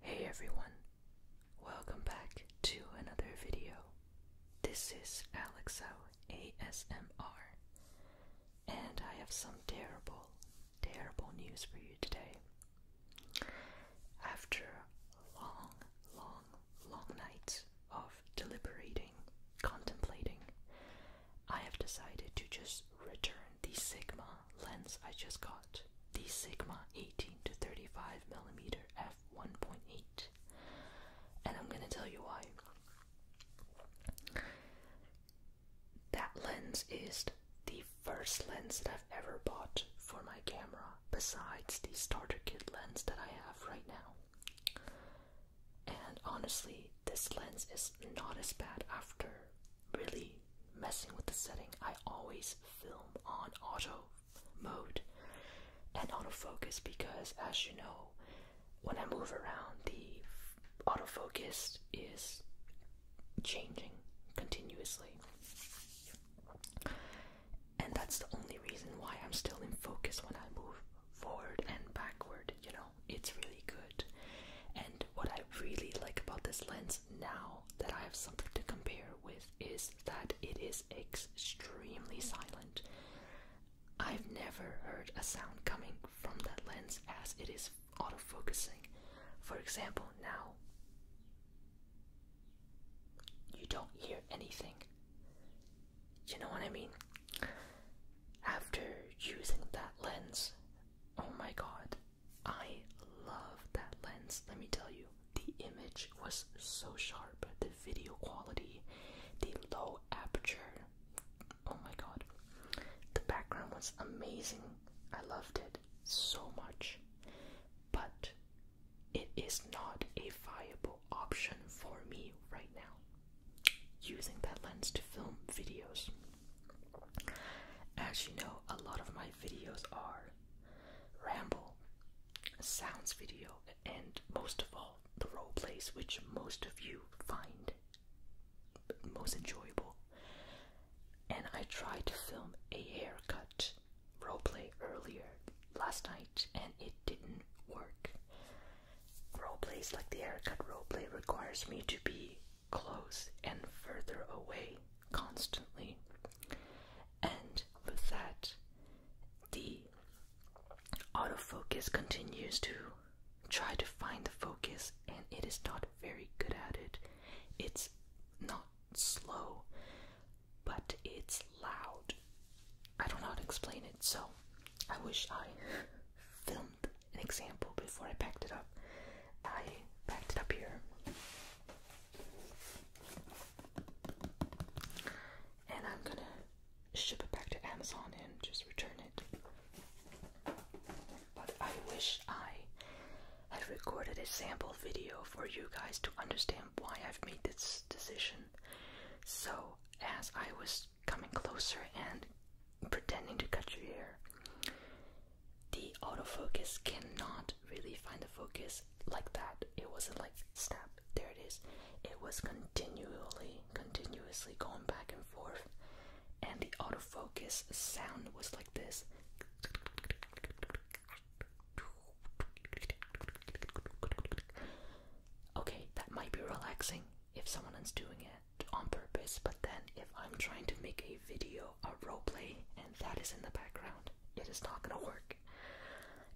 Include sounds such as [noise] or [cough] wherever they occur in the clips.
Hey everyone, welcome back to another video. This is Alexo ASMR, and I have some terrible, terrible news for you today. After long, long, long nights of deliberating, contemplating, I have decided to just return the Sigma lens I just got, the Sigma 18 to 35 millimeter f 1.8, and I'm gonna tell you why. That lens is the first lens that I've ever bought for my camera, besides the starter kit lens that I have right now. And honestly, this lens is not as bad after really messing with the setting, I always film on auto mode and auto focus because, as you know, when I move around, the auto focus is changing continuously. And that's the only reason why I'm still in focus when I move forward and backward, you know. It's really good. And what I really like about this lens now that I have something to compare with is that it is extremely silent. I've never heard a sound coming from that lens as it is auto focusing. For example, now you don't hear anything. You know what I mean? After using that lens, oh my god, I love that lens, let me tell you. The image was so sharp, the video quality, the low aperture. Oh my god. The background was amazing. I loved it so much. But it is not a viable option for me right now. Using that lens to film videos. As you know, a lot of my videos are ramble, sounds video, and most of all, the role plays, which most of you find most enjoyable. And I tried to film a haircut role play earlier last night, and it didn't work. Role plays like the haircut role play requires me to be close and further away constantly. And with that, the autofocus continues to try to find the focus, and it is not very good at it. It's not slow, but it's loud. I don't know how to explain it, so I wish I [laughs] filmed an example before I packed it up. I packed it up here. And I'm gonna ship it back to Amazon and just return it. But I wish I had recorded a sample video for you guys to understand why I've made this decision. So, as I was coming closer and pretending to cut your hair, the autofocus cannot really find the focus like that. It wasn't like snap, there it is. It was continually, continuously going back and forth, and the autofocus sound was like this. Okay, that might be relaxing if someone is doing it on purpose, but then if I'm trying to make a video, a roleplay, and that is in the background, it is not gonna work.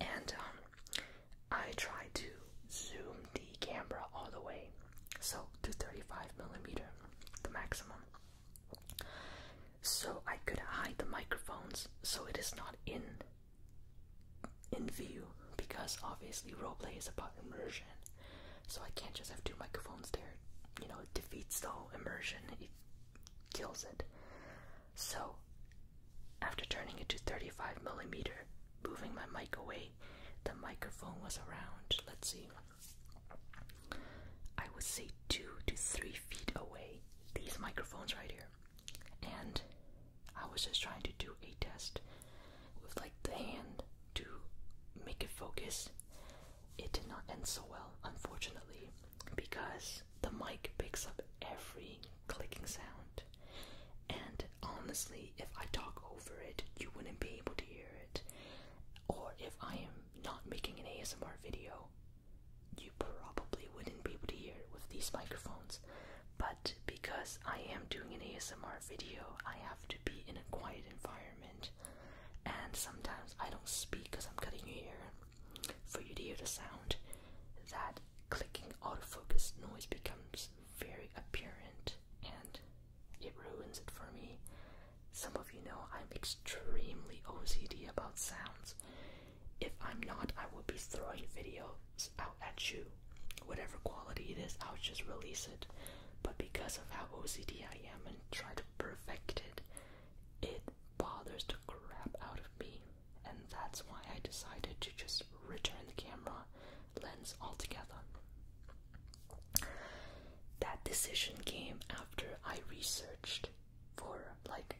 And um, I try to zoom the camera all the way, so to 35 millimeter, the maximum. So I could hide the microphones so it is not in in view because obviously roleplay is about immersion so I can't just have two microphones there. You know, it defeats the whole immersion, it kills it. So, after turning it to 35 millimeter, moving my mic away, the microphone was around, let's see, I would say two to three feet away, these microphones right here. And I was just trying to do a test with like the hand to make it focus it did not end so well, unfortunately, because the mic picks up every clicking sound, and honestly, if I talk over it, you wouldn't be able to hear it. Or if I am not making an ASMR video, you probably wouldn't be able to hear it with these microphones. But because I am doing an ASMR video, I have to be in a quiet environment and sometimes I don't speak because I'm cutting your ear for you to hear the sound. That clicking autofocus noise becomes very apparent and it ruins it for me. Some of you know I'm extremely OCD about sounds. If I'm not, I will be throwing videos out at you. Whatever quality it is, I'll just release it but because of how OCD I am and try to perfect it, it bothers the crap out of me. And that's why I decided to just return the camera lens altogether. That decision came after I researched for like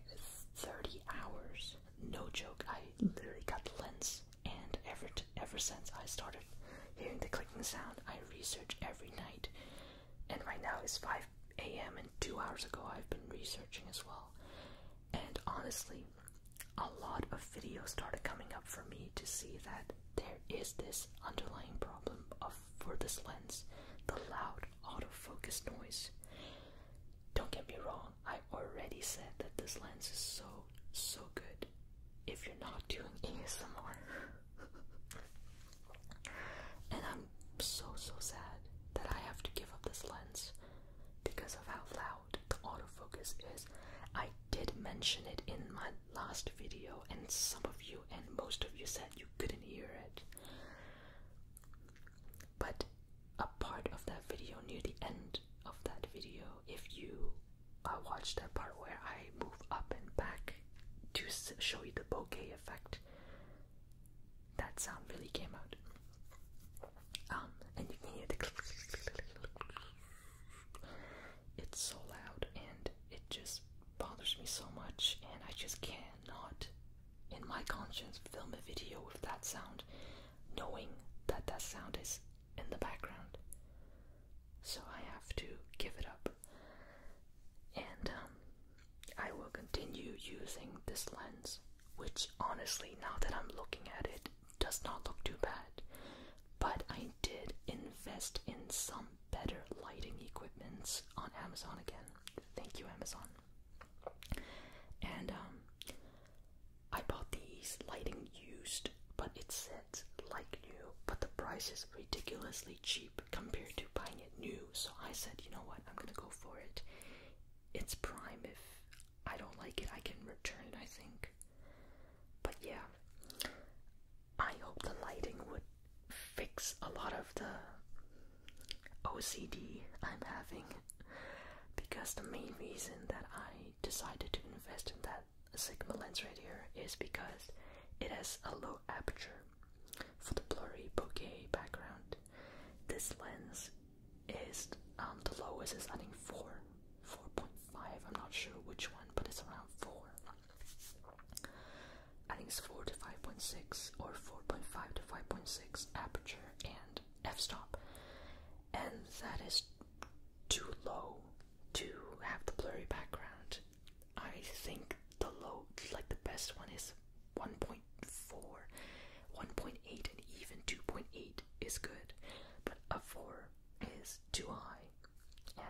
30 hours. No joke, I literally got the lens and everything. Ever since I started hearing the clicking sound, I research every night. And right now it's 5 a.m. and two hours ago I've been researching as well. And honestly, a lot of videos started coming up for me to see that there is this underlying problem of for this lens, the loud autofocus noise. Don't get me wrong, I already said that this lens is so so good if you're not doing ASMR. and I'm so so sad that I have to give up this lens because of how loud the autofocus is. I did mention it in my last video, and some of you and most of you said you couldn't hear it. But a part of that video near the end of that video, if you uh, watch that part where I move up and back to show you the bokeh effect. That sound really came out. Um, and you can hear the [laughs] It's so loud and it just bothers me so much, and I just cannot, in my conscience, film a video with that sound, knowing that that sound is in the background. So I have to give it up. And um, I will continue using this lens, which honestly, now that I'm looking at it, does not look too bad. But I did invest in some better lighting equipment on Amazon again. Thank you, Amazon. And um, I bought these lighting used, but it's like new, but the price is ridiculously cheap compared to buying it new. So I said, you know what, I'm gonna go for it. It's prime. If I don't like it, I can return it, I think. But yeah, I hope the lighting would fix a lot of the OCD I'm having because the main reason that I decided to invest in that sigma lens right here is because it has a low aperture for the blurry bokeh background. This lens is um, the lowest is I think four, four point five. I'm not sure which one, but it's around four. I think it's four to five point six or four point five to five point six aperture and f-stop, and that is too low to have the blurry background. I think the low, like the best one is 1.4, 1.8, and even 2.8 is good, but a 4 is too high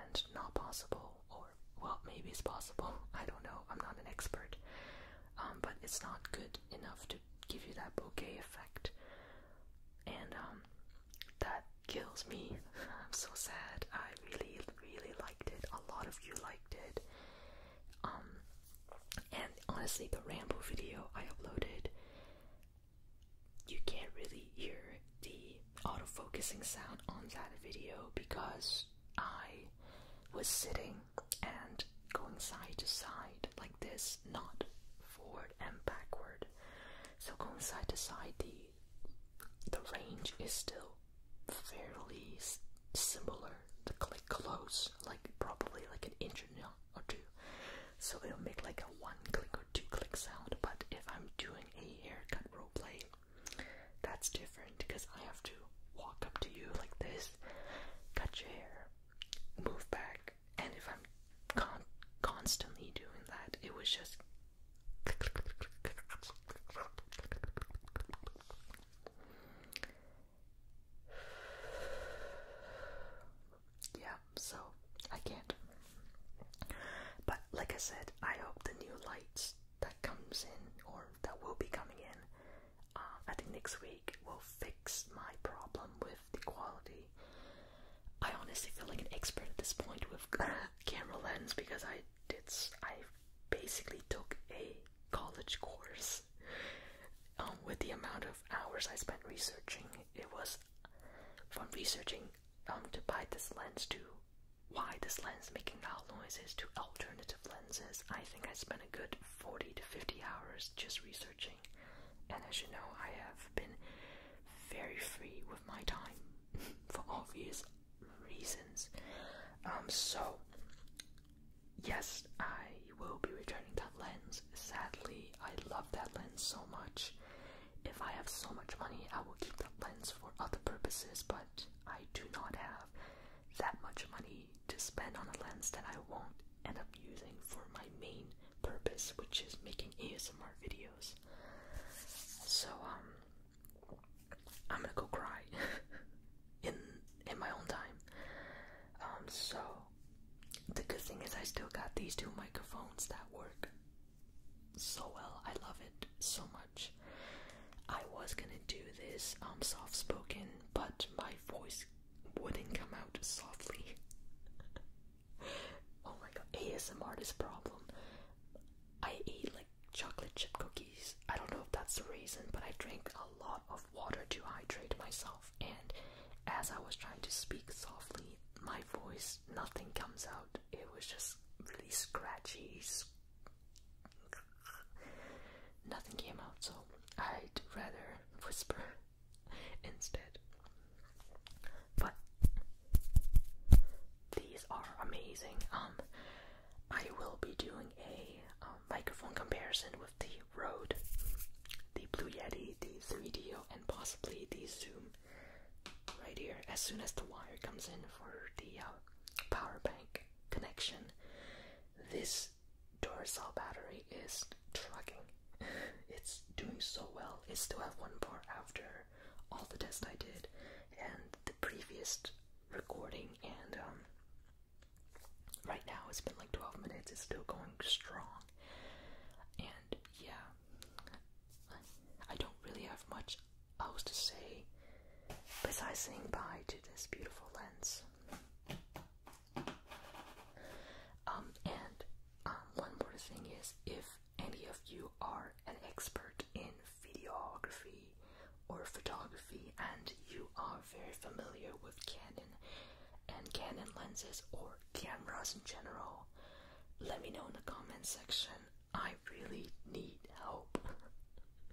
and not possible, or well, maybe it's possible. [laughs] I don't know. I'm not an expert, um, but it's not good enough to give you that bouquet effect, and um, that kills me. [laughs] I'm so sad. I really, really liked it. A lot of you liked it. Um, and honestly, the Rambo video I uploaded, you can't really hear the autofocusing sound on that video because I was sitting and going side to side like this, not forward and backward. So going side to side, the the range is still fairly similar, click close, like probably like an inch or two. So it'll make like a one click or two click sound. But if I'm doing a haircut role play, that's different because I have to walk up to you like this, cut your hair, move back, and if I'm con constantly doing that, it was just yeah, so I can't. But like I said, I hope the new lights that comes in or that will be coming in, uh, I think next week will fix my problem with the quality I honestly feel like an expert at this point with [laughs] camera lens because I did I basically took a college course. Um, with the amount of hours I spent researching, it was from researching um, to buy this lens to why this lens making loud noises to alternative lenses. I think I spent a good 40 to 50 hours just researching. And as you know, I have been very free with my time [laughs] for obvious reasons. Um, so yes, I will be returning that lens. Sadly, I love that lens so much. If I have so much money, I will keep that lens for other purposes, but I do not have that much money to spend on a lens that I won't end up using for my main purpose, which is making ASMR videos. So um I'm gonna go cry [laughs] in in my own time. Um so the good thing is I still got these two microphones that work so well. I love it so much. I was gonna do this um soft spoken but my voice wouldn't come out softly. [laughs] oh my god, ASMR is a problem. I eat like chocolate chip cookies. I don't know if that's the reason, but I drink a lot of water to hydrate myself. And as I was trying to speak softly, my voice, nothing comes out. It was just really scratchy. Nothing came out, so I'd rather whisper [laughs] instead. But these are amazing. Um, I will be doing a um, microphone comparison with the Rode, the Blue Yeti, the 3DO, and possibly the Zoom right here as soon as the wire comes in for the uh, power bank connection. This Duracell battery is trucking. [laughs] It's doing so well. It still have one bar after all the tests I did and the previous recording, and um, right now it's been like 12 minutes, it's still going strong. And yeah, I don't really have much else to say besides saying bye to this beautiful lens. Um, and um, one more thing is if any of you are an expert in videography or photography and you are very familiar with Canon and Canon lenses or cameras in general, let me know in the comment section. I really need help. [laughs]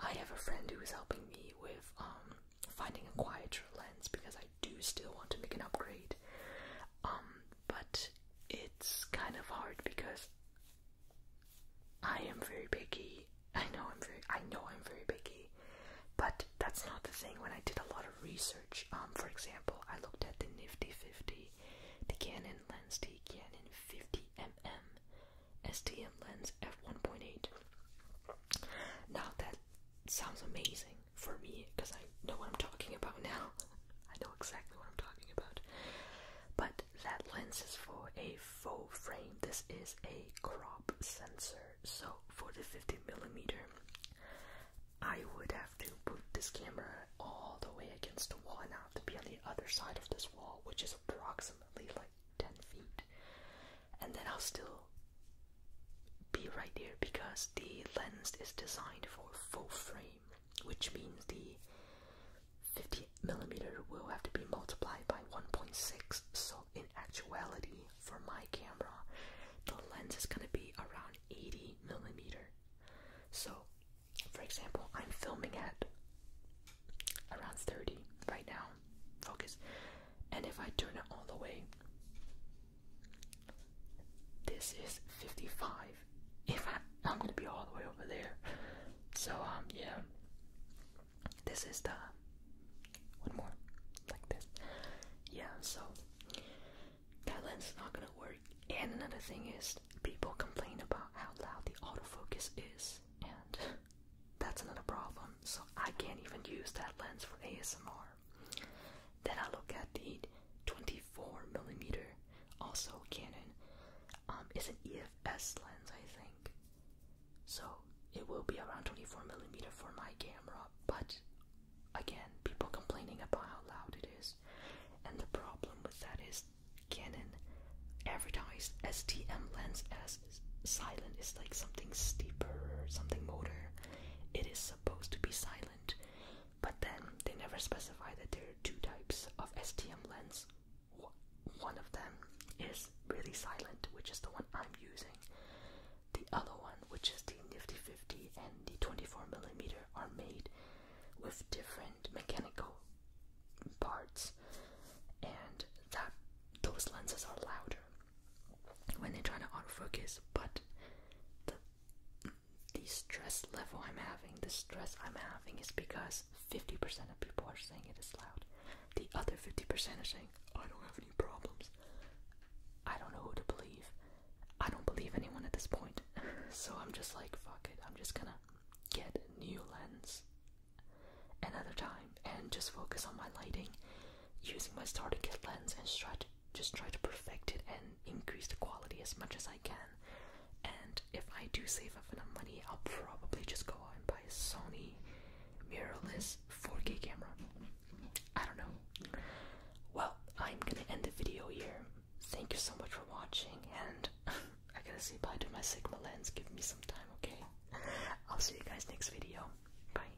I have a friend who is helping me with um, finding a quieter lens because I do still want to make an upgrade. Um, but it's kind of hard because I am very picky. I know I'm very I know I'm very picky. But that's not the thing. When I did a lot of research, um, for example, I looked at the Nifty 50, the Canon lens, the Canon 50mm STM lens f1.8. Now that sounds amazing, for me because I know what I'm talking about now. [laughs] I know exactly what I'm talking about. But that lens is for a full frame. This is a crop sensor. So for the 50 millimeter, I would have to put this camera all the way against the wall and I have to be on the other side of this wall, which is approximately like 10 feet. And then I'll still be right there because the lens is designed for full frame, which means the 50 millimeter will have to be multiplied by 1.6. So in actuality, for my camera, the lens is gonna be around 80 millimeter. So, for example, I'm filming at around 30 right now. Focus, and if I turn it all the way, this is 55. If I, I'm gonna be all the way over there. So um yeah. This is the one more like this. Yeah, so that lens is not gonna work. And another thing is people complain about how loud the autofocus is and that's another problem. So I can't even use that lens for ASMR. Then I look at the 24 millimeter, also Canon. Um, it's an EFS lens, I think. So it will be around 24 millimeter for my camera, but again, people complaining about how loud it is, and the problem with that is Canon advertised STM lens as silent. It's like something steeper, or something motor. It is supposed to be silent, but then they never specify that there are two types of STM lens. One of them is really silent, which is the one I'm using. The other one, which is the Nifty 50 and the 24mm, are made with different mechanical parts, and that those lenses are louder when they are trying to autofocus, but the stress level I'm having, the stress I'm having is because 50% of people are saying it is loud. The other 50% are saying, I don't have any problems. I don't know who to believe. I don't believe anyone at this point. [laughs] so I'm just like, fuck it. I'm just gonna get a new lens another time and just focus on my lighting using my starter kit lens and try just try to perfect it and increase the quality as much as I can. And if I do save up enough money, I'll probably just go out and buy a Sony mirrorless 4K camera. I don't know. Well, I'm gonna end the video here. Thank you so much for watching, and [laughs] I gotta say bye to my Sigma lens. Give me some time, okay? [laughs] I'll see you guys next video. Bye.